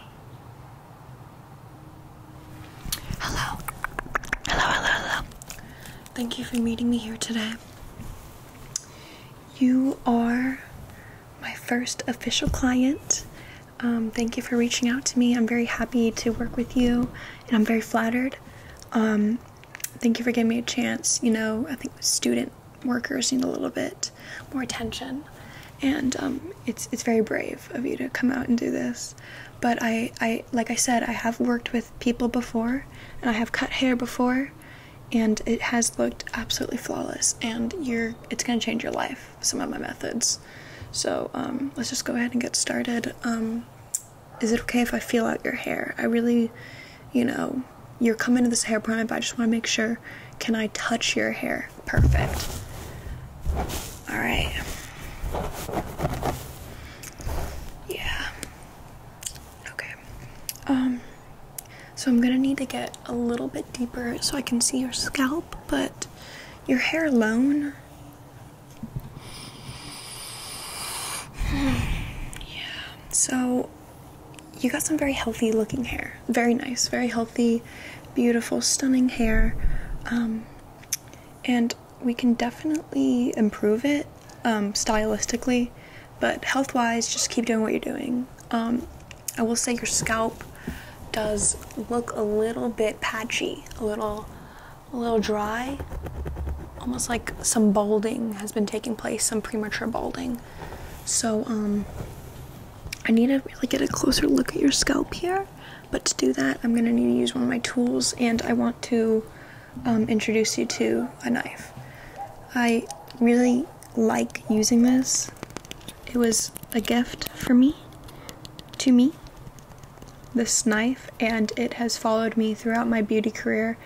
Hello. Hello, hello, hello. Thank you for meeting me here today. You are my first official client. Um, thank you for reaching out to me. I'm very happy to work with you and I'm very flattered. Um, thank you for giving me a chance. You know, I think student workers need a little bit more attention and um, it's it's very brave of you to come out and do this. But I, I like I said, I have worked with people before, and I have cut hair before, and it has looked absolutely flawless. And you're it's gonna change your life. Some of my methods. So um, let's just go ahead and get started. Um, is it okay if I feel out your hair? I really, you know, you're coming to this hair appointment, but I just want to make sure. Can I touch your hair? Perfect. All right. Yeah. Okay. Um so I'm going to need to get a little bit deeper so I can see your scalp, but your hair alone yeah. So you got some very healthy looking hair. Very nice, very healthy, beautiful, stunning hair. Um, and we can definitely improve it um, stylistically, but health wise, just keep doing what you're doing. Um, I will say your scalp does look a little bit patchy, a little, a little dry, almost like some balding has been taking place, some premature balding. So, I need to really get a closer look at your scalp here, but to do that, I'm gonna need to use one of my tools and I want to um, introduce you to a knife. I really like using this. It was a gift for me, to me, this knife, and it has followed me throughout my beauty career,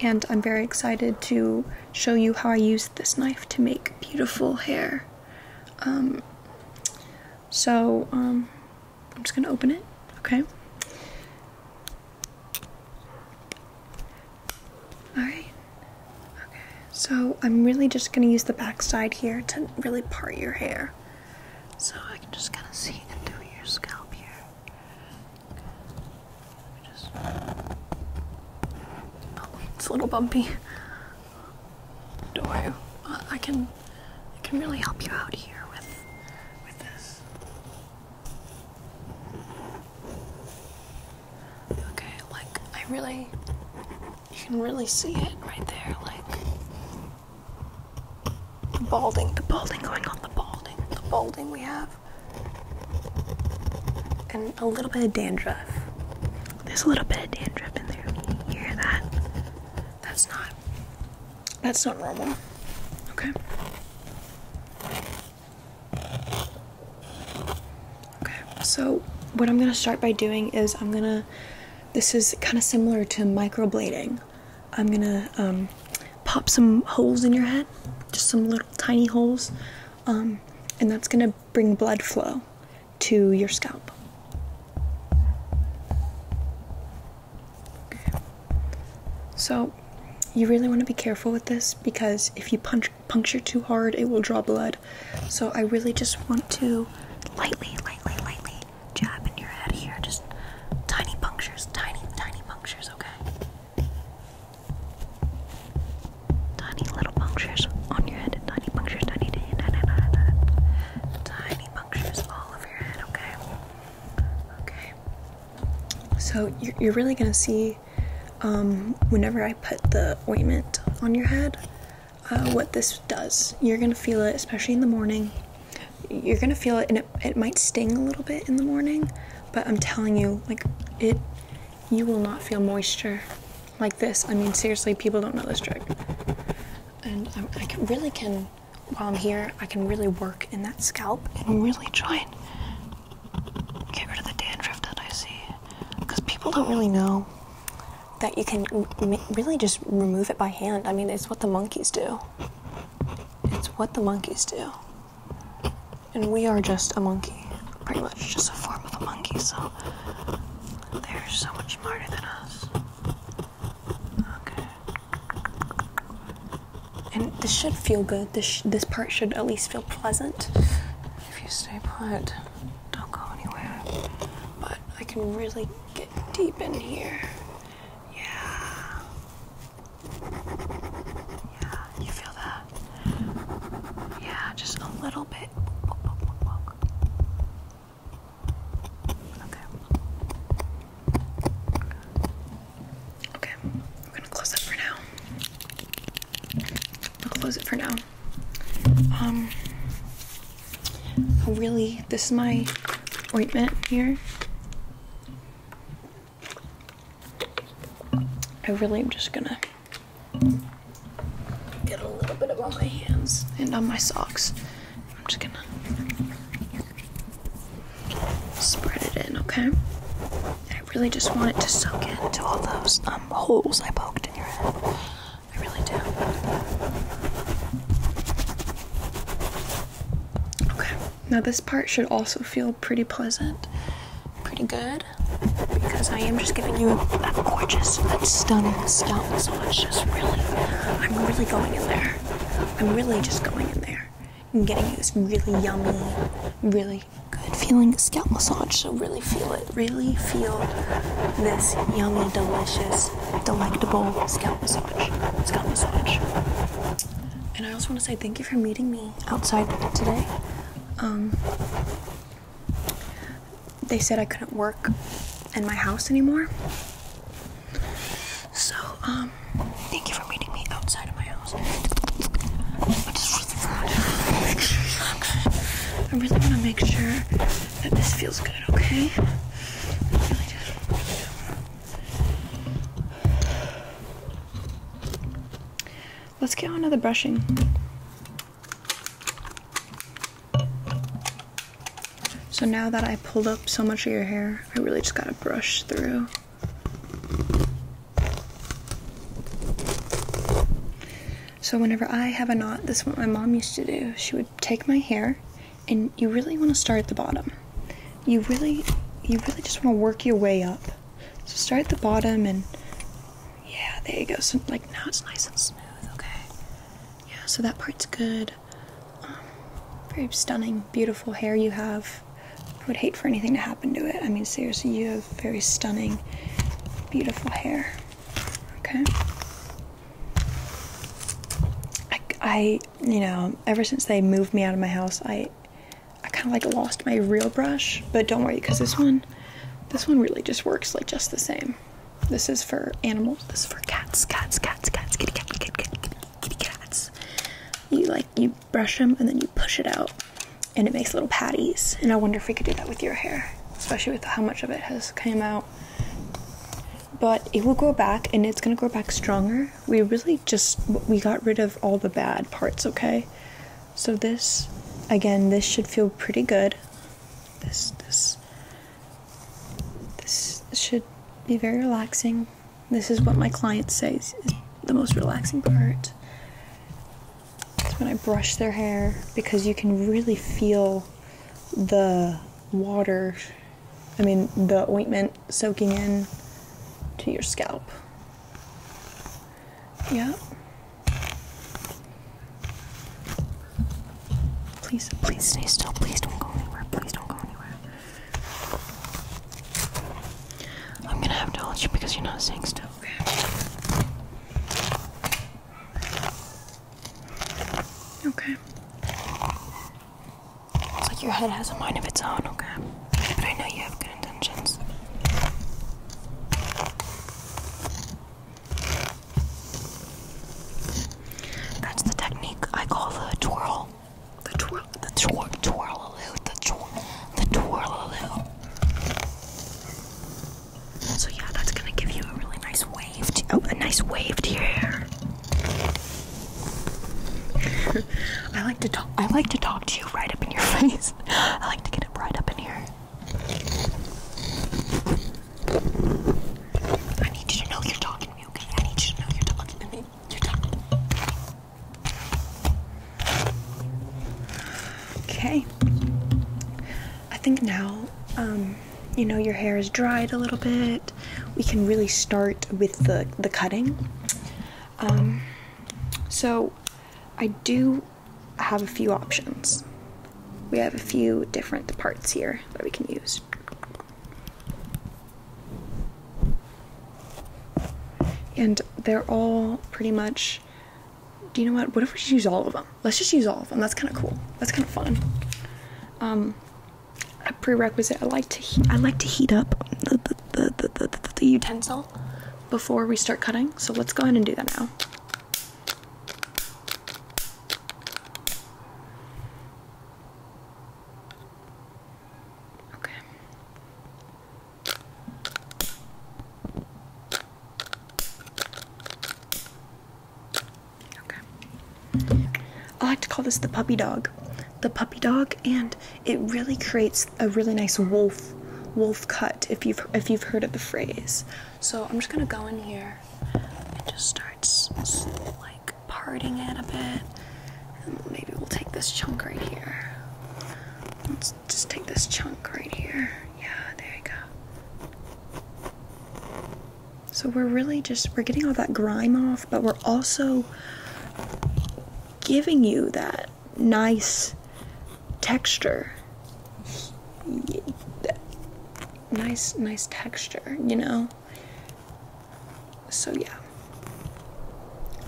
and I'm very excited to show you how I use this knife to make beautiful hair. Um, so, um, I'm just gonna open it, okay? Alright. Okay, so I'm really just gonna use the back side here to really part your hair. So I can just kind of see into your scalp here it's a little bumpy. do I? I can. I can really help you out here with, with this. Okay, like I really. You can really see it right there, like the balding, the balding going on, the balding, the balding we have and a little bit of dandruff. There's a little bit of dandruff in there. hear that? That's not. That's not normal. Okay. Okay. So what I'm gonna start by doing is I'm gonna. This is kind of similar to microblading. I'm gonna um, pop some holes in your head, just some little tiny holes um, and that's going to bring blood flow to your scalp. So, you really want to be careful with this because if you punch, puncture too hard, it will draw blood. So, I really just want to lightly, lightly, lightly jab in your head here. Just tiny punctures, tiny, tiny punctures, okay? Tiny little punctures on your head. Tiny punctures, tiny, tiny, tiny, tiny, tiny, tiny punctures all over your head, okay? Okay. So you're, you're really gonna see um, whenever I put the ointment on your head uh, what this does. You're gonna feel it, especially in the morning. You're gonna feel it, and it, it might sting a little bit in the morning, but I'm telling you, like, it you will not feel moisture like this. I mean, seriously, people don't know this trick. And I really can, while I'm here, I can really work in that scalp and really try and get rid of the dandruff that I see. Because people don't really know that you can really just remove it by hand. I mean, it's what the monkeys do. It's what the monkeys do. And we are just a monkey, pretty much just a form of a monkey, so they're so much smarter than us. Okay. And this should feel good. This, this part should at least feel pleasant if you stay put. Don't go anywhere. But I can really get deep in here. Yeah. Yeah, you feel that? Yeah, just a little bit. Okay. Okay, we're gonna close it for now. We'll close it for now. Um, really, this is my ointment here. I really am just gonna get a little bit of on my hands and on my socks. I'm just gonna spread it in, okay? I really just want it to soak into all those um, holes I poked in your head. I really do. Okay, now this part should also feel pretty pleasant, pretty good, because I am just giving you that gorgeous, that stunning scalp massage. Just really, I'm really going in there. I'm really just going in there and getting you this really yummy, really good feeling scalp massage. So really feel it. Really feel this yummy, delicious, delectable scalp massage. Scalp massage. And I also want to say thank you for meeting me outside today. Um, they said I couldn't work in my house anymore. So, um, thank you for meeting me outside of my house. I really want to make sure. I really want to make sure that this feels good, okay? I really do. Let's get on to the brushing. So now that I pulled up so much of your hair, I really just gotta brush through. So whenever I have a knot, this is what my mom used to do. She would take my hair and you really want to start at the bottom. You really you really just want to work your way up. So start at the bottom and yeah, there you go. So like now it's nice and smooth, okay? Yeah, so that part's good. Um, very stunning, beautiful hair you have. I would hate for anything to happen to it. I mean, seriously, you have very stunning, beautiful hair. Okay? I you know, ever since they moved me out of my house, I I kind of like lost my real brush, but don't worry because this one this one really just works like just the same. This is for animals. This is for cats, cats, cats, cats, kitty, cats, kitty, cat, kitty, kitty cats. You like you brush them and then you push it out, and it makes little patties. And I wonder if we could do that with your hair, especially with how much of it has came out. But it will grow back, and it's gonna grow back stronger we really just we got rid of all the bad parts okay so this again this should feel pretty good this this this should be very relaxing this is what my clients say is the most relaxing part it's when i brush their hair because you can really feel the water i mean the ointment soaking in to your scalp. Yeah. Please, please stay still. Please don't go anywhere. Please don't go anywhere. I'm gonna have to let you because you're not staying still. Okay. Okay. It's like your head has a mind of its own, okay? But I know you have good intentions. That's the technique I call the twirl. The twirl, the twirl, twirl the twirl, the twirl So yeah, that's gonna give you a really nice wave, to, oh, a nice wave to your hair. I like to talk I like to talk to you right up in your face. I like to get it right up in here. I need you to know you're talking to me, okay? I need you to know you're talking to me. You're talking Okay. I think now um you know your hair is dried a little bit, we can really start with the the cutting. Um, so I do have a few options. We have a few different parts here that we can use. And they're all pretty much, do you know what? What if we just use all of them? Let's just use all of them. That's kind of cool. That's kind of fun. Um, a prerequisite. I like to I like to heat up the the, the, the, the the utensil before we start cutting. So let's go ahead and do that now. Okay. Okay. I like to call this the puppy dog. The puppy dog, and it really creates a really nice wolf wolf cut if you've if you've heard of the phrase. So I'm just gonna go in here and just start like parting it a bit. And maybe we'll take this chunk right here. Let's just take this chunk right here. Yeah, there you go. So we're really just we're getting all that grime off, but we're also giving you that nice texture. Nice nice texture, you know. So yeah.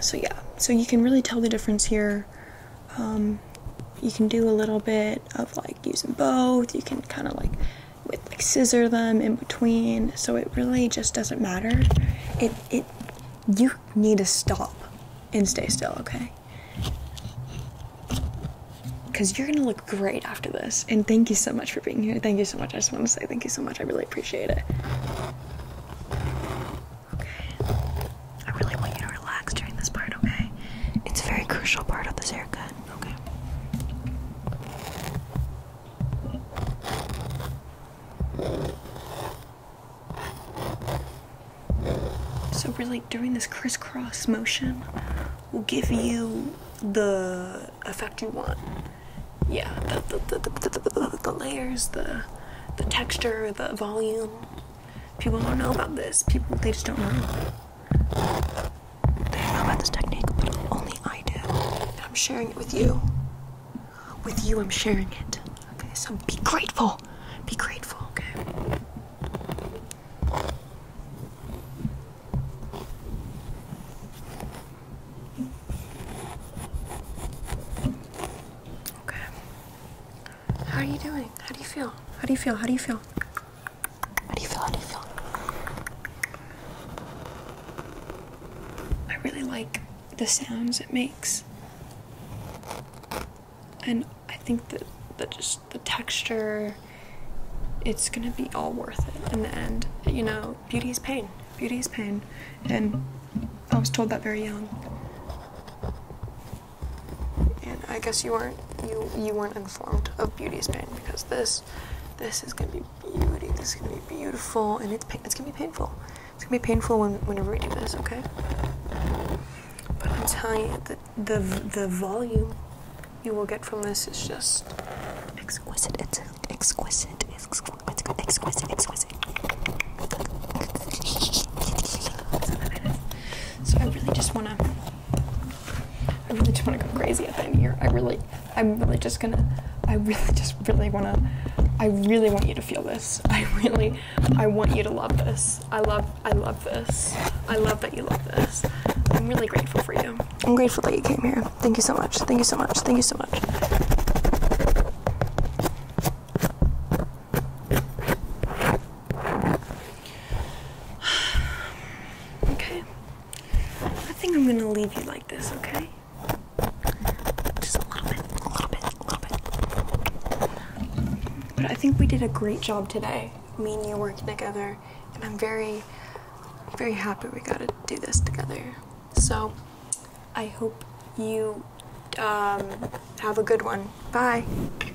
So yeah. So you can really tell the difference here. Um, you can do a little bit of like using both. You can kind of like with like scissor them in between so it really just doesn't matter it it you need to stop and stay still okay because you're gonna look great after this and thank you so much for being here thank you so much i just want to say thank you so much i really appreciate it okay i really want you to relax during this part okay it's a very crucial part of this haircut Okay. So really doing this crisscross motion will give you the effect you want. Yeah, the, the, the, the layers, the, the texture, the volume. People don't know about this. People, they just don't know. They don't know about this technique, but only I do. And I'm sharing it with you. With you, I'm sharing it. Okay, so be grateful. Be grateful, okay? Okay. How are you doing? How do you feel? How do you feel? How do you feel? How do you feel? How do you feel? I really like the sounds it makes. And I think that the just the texture it's gonna be all worth it in the end. You know, beauty is pain. Beauty is pain. And I was told that very young and I guess you weren't you you weren't informed of beauty's pain because this this is gonna be beauty. This is gonna be beautiful, and it's it's gonna be painful. It's gonna be painful when, whenever we do this, okay? But I'm telling you, the the volume you will get from this is just exquisite. It's exquisite. Exquisite. Exquisite. Exquisite. So I really just wanna. I really just want to go crazy at the end of the I really, I'm really just gonna, I really just really want to, I really want you to feel this. I really, I want you to love this. I love, I love this. I love that you love this. I'm really grateful for you. I'm grateful that you came here. Thank you so much. Thank you so much. Thank you so much. okay. I think I'm gonna leave you like this, okay? Just a little bit, a little bit, a little bit. But I think we did a great job today. Me and you working together, and I'm very, very happy we got to do this together. So, I hope you um, have a good one. Bye.